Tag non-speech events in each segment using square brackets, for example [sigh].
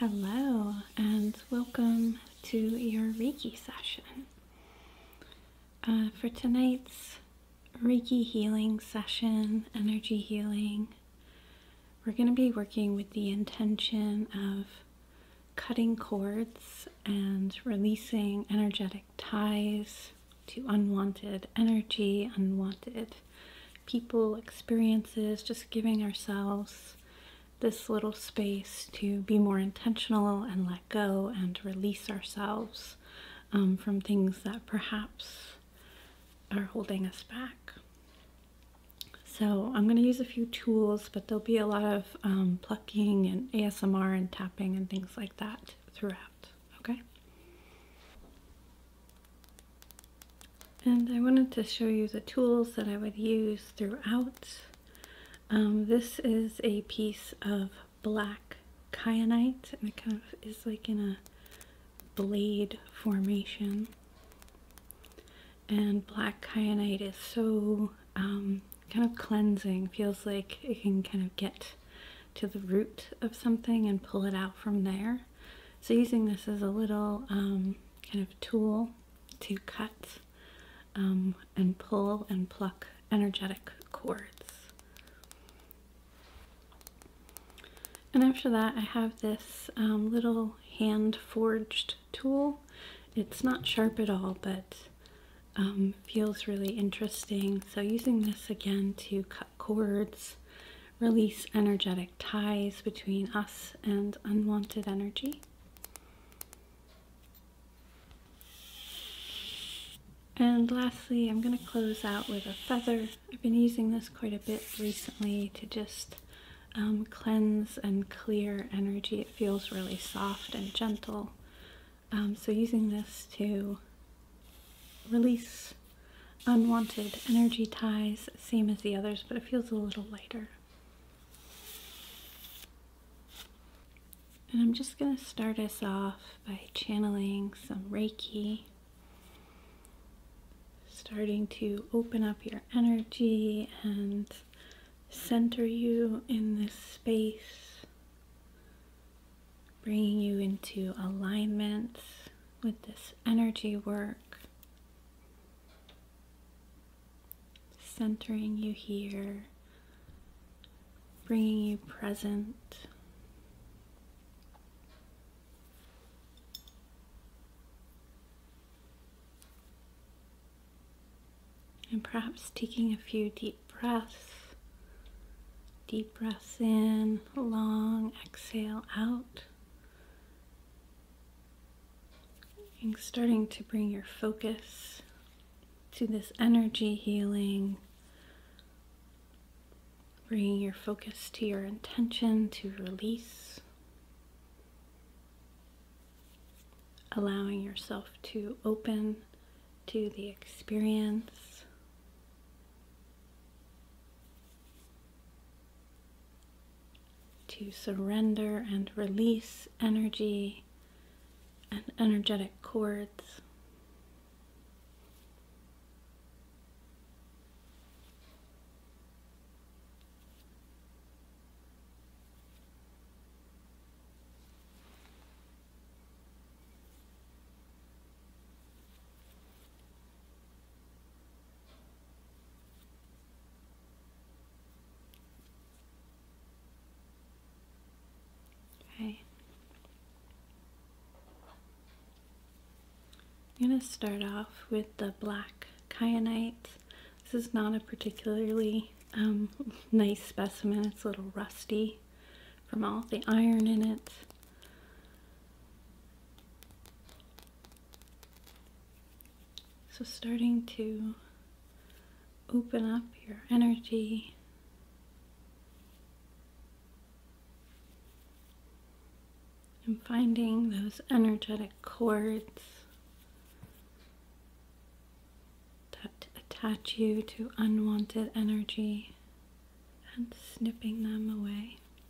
Hello, and welcome to your Reiki session. Uh, for tonight's Reiki healing session, energy healing, we're going to be working with the intention of cutting cords and releasing energetic ties to unwanted energy, unwanted people, experiences, just giving ourselves this little space to be more intentional and let go and release ourselves um, from things that perhaps are holding us back. So I'm going to use a few tools, but there'll be a lot of um, plucking and ASMR and tapping and things like that throughout, okay? And I wanted to show you the tools that I would use throughout. Um, this is a piece of black kyanite and it kind of is like in a blade formation. And black kyanite is so um, kind of cleansing, feels like it can kind of get to the root of something and pull it out from there. So using this as a little um, kind of tool to cut um, and pull and pluck energetic cords. And after that I have this um, little hand forged tool. It's not sharp at all but um, feels really interesting. So using this again to cut cords release energetic ties between us and unwanted energy. And lastly, I'm going to close out with a feather. I've been using this quite a bit recently to just um, cleanse and clear energy. It feels really soft and gentle. Um, so using this to release unwanted energy ties, same as the others, but it feels a little lighter. And I'm just going to start us off by channeling some Reiki, starting to open up your energy and center you in this space, bringing you into alignment with this energy work centering you here, bringing you present. And perhaps taking a few deep breaths. Deep breaths in, long exhale out. And starting to bring your focus to this energy healing, bringing your focus to your intention to release, allowing yourself to open to the experience to surrender and release energy and energetic cords. Okay. I'm going to start off with the black kyanite. This is not a particularly um, [laughs] nice specimen. It's a little rusty from all the iron in it. So, starting to open up your energy. And finding those energetic cords that attach you to unwanted energy and snipping them away.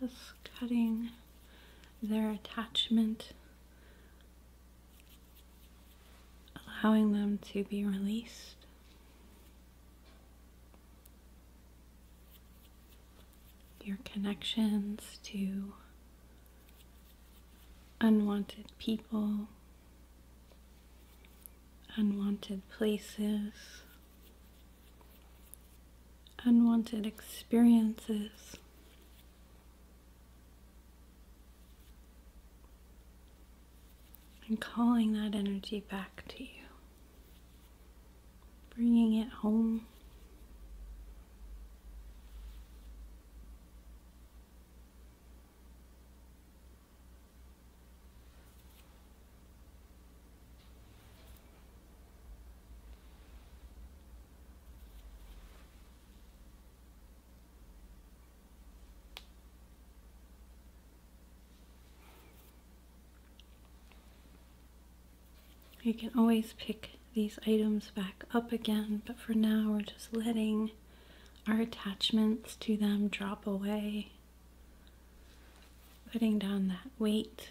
Just cutting their attachment, allowing them to be released. Your connections to unwanted people, unwanted places, unwanted experiences. And calling that energy back to you, bringing it home. You can always pick these items back up again, but for now we're just letting our attachments to them drop away. Putting down that weight.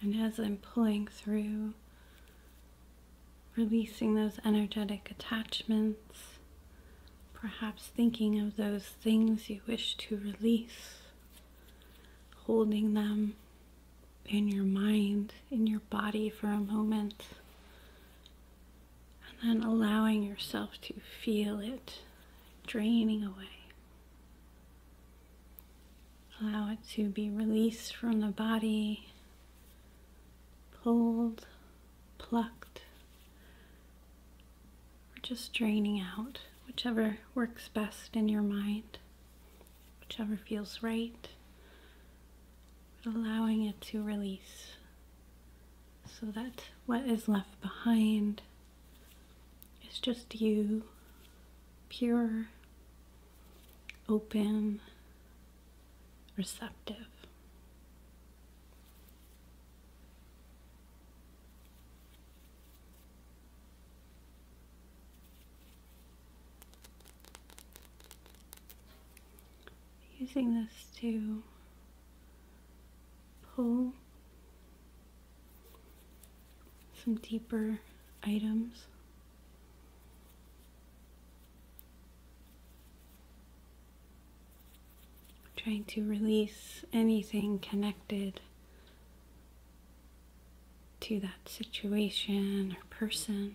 And as I'm pulling through, releasing those energetic attachments, perhaps thinking of those things you wish to release, holding them in your mind, in your body for a moment, and then allowing yourself to feel it draining away. Allow it to be released from the body, pulled, plucked, or just draining out, whichever works best in your mind, whichever feels right, but allowing it to release so that what is left behind is just you, pure, open, receptive. Using this too pull some deeper items. Trying to release anything connected to that situation or person.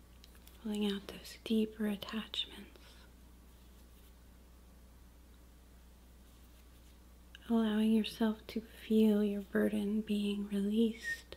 pulling out those deeper attachments. Allowing yourself to feel your burden being released.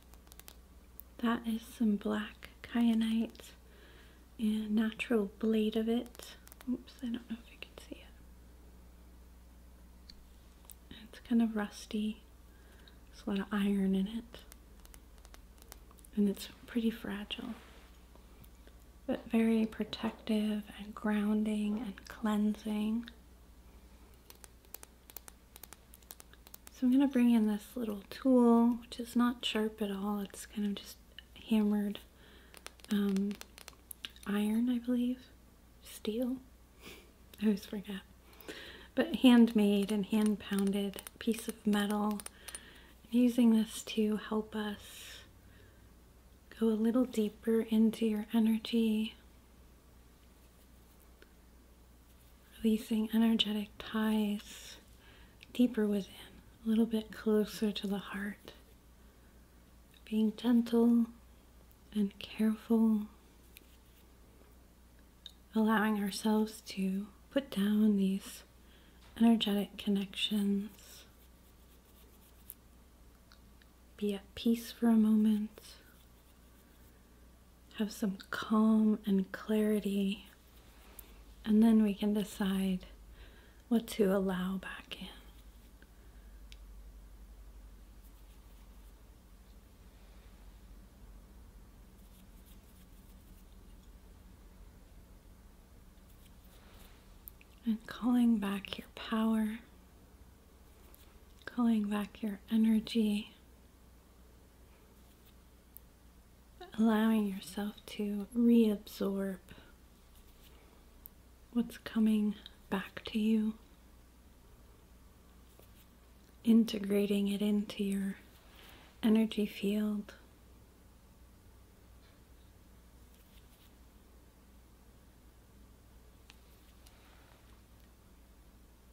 That is some black kyanite and natural blade of it. Oops, I don't know if you can see it. It's kind of rusty. There's a lot of iron in it. And it's pretty fragile. But very protective and grounding and cleansing. So I'm going to bring in this little tool, which is not sharp at all. It's kind of just hammered um, iron, I believe, steel. [laughs] I always forget. But handmade and hand pounded piece of metal. using this to help us go a little deeper into your energy releasing energetic ties deeper within, a little bit closer to the heart. Being gentle and careful, allowing ourselves to put down these energetic connections, be at peace for a moment, have some calm and clarity, and then we can decide what to allow back in. And calling back your power, calling back your energy, allowing yourself to reabsorb what's coming back to you, integrating it into your energy field.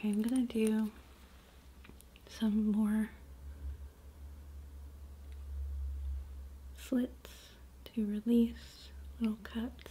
Okay, I'm gonna do some more slits to release, little cuts.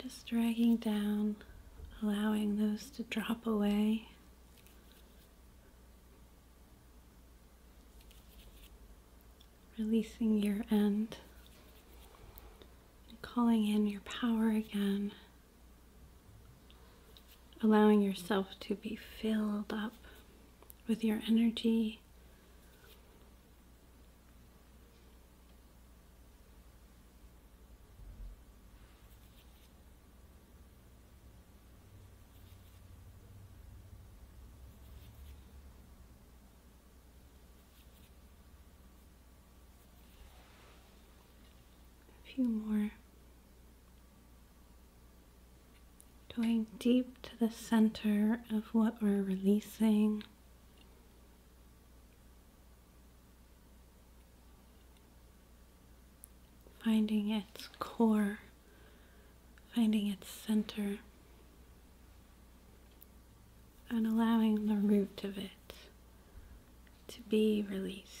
Just dragging down, allowing those to drop away. Releasing your end. Calling in your power again. Allowing yourself to be filled up with your energy. A few more. Going deep to the center of what we're releasing. Finding its core, finding its center and allowing the root of it to be released.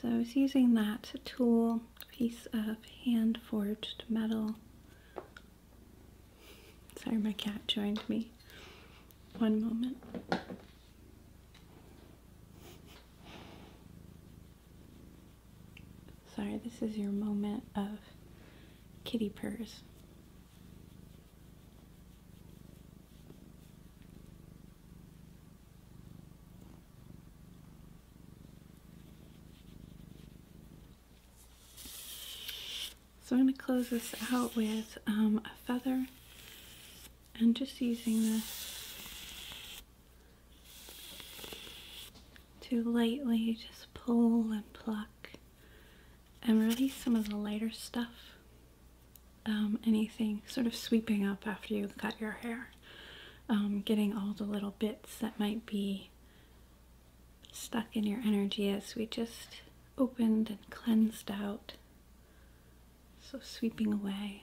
So I was using that tool, piece of hand forged metal. Sorry, my cat joined me. One moment. Sorry, this is your moment of kitty purrs. So I'm going to close this out with um, a feather and just using this to lightly just pull and pluck and release some of the lighter stuff, um, anything sort of sweeping up after you cut your hair. Um, getting all the little bits that might be stuck in your energy as we just opened and cleansed out. So sweeping away.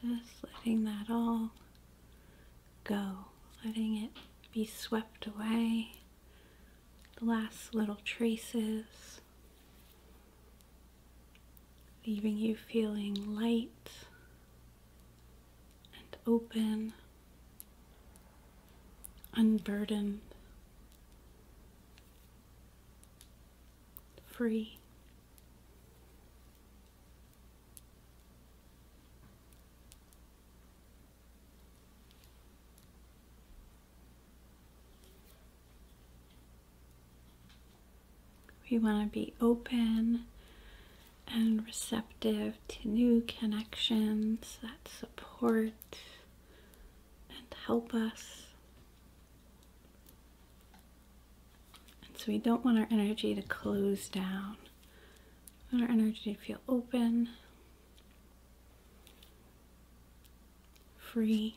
Just letting that all go, letting it be swept away, the last little traces leaving you feeling light and open, unburdened, free. We want to be open and receptive to new connections that support and help us. And so we don't want our energy to close down. We want our energy to feel open, free.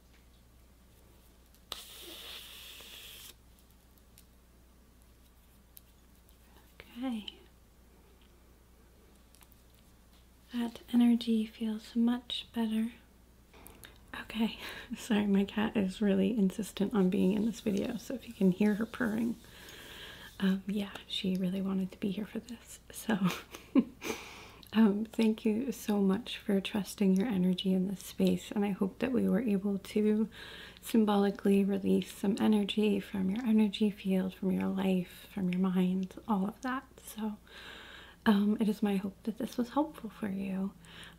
Okay. That energy feels much better. Okay, [laughs] sorry, my cat is really insistent on being in this video, so if you can hear her purring, um, yeah, she really wanted to be here for this. So, [laughs] um, thank you so much for trusting your energy in this space. And I hope that we were able to symbolically release some energy from your energy field, from your life, from your mind, all of that. So, um, it is my hope that this was helpful for you.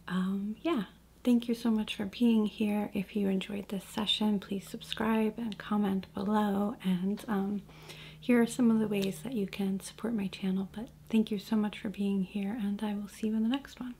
Um, yeah. Thank you so much for being here. If you enjoyed this session, please subscribe and comment below. And here are some of the ways that you can support my channel. But Thank you so much for being here, and I will see you in the next one.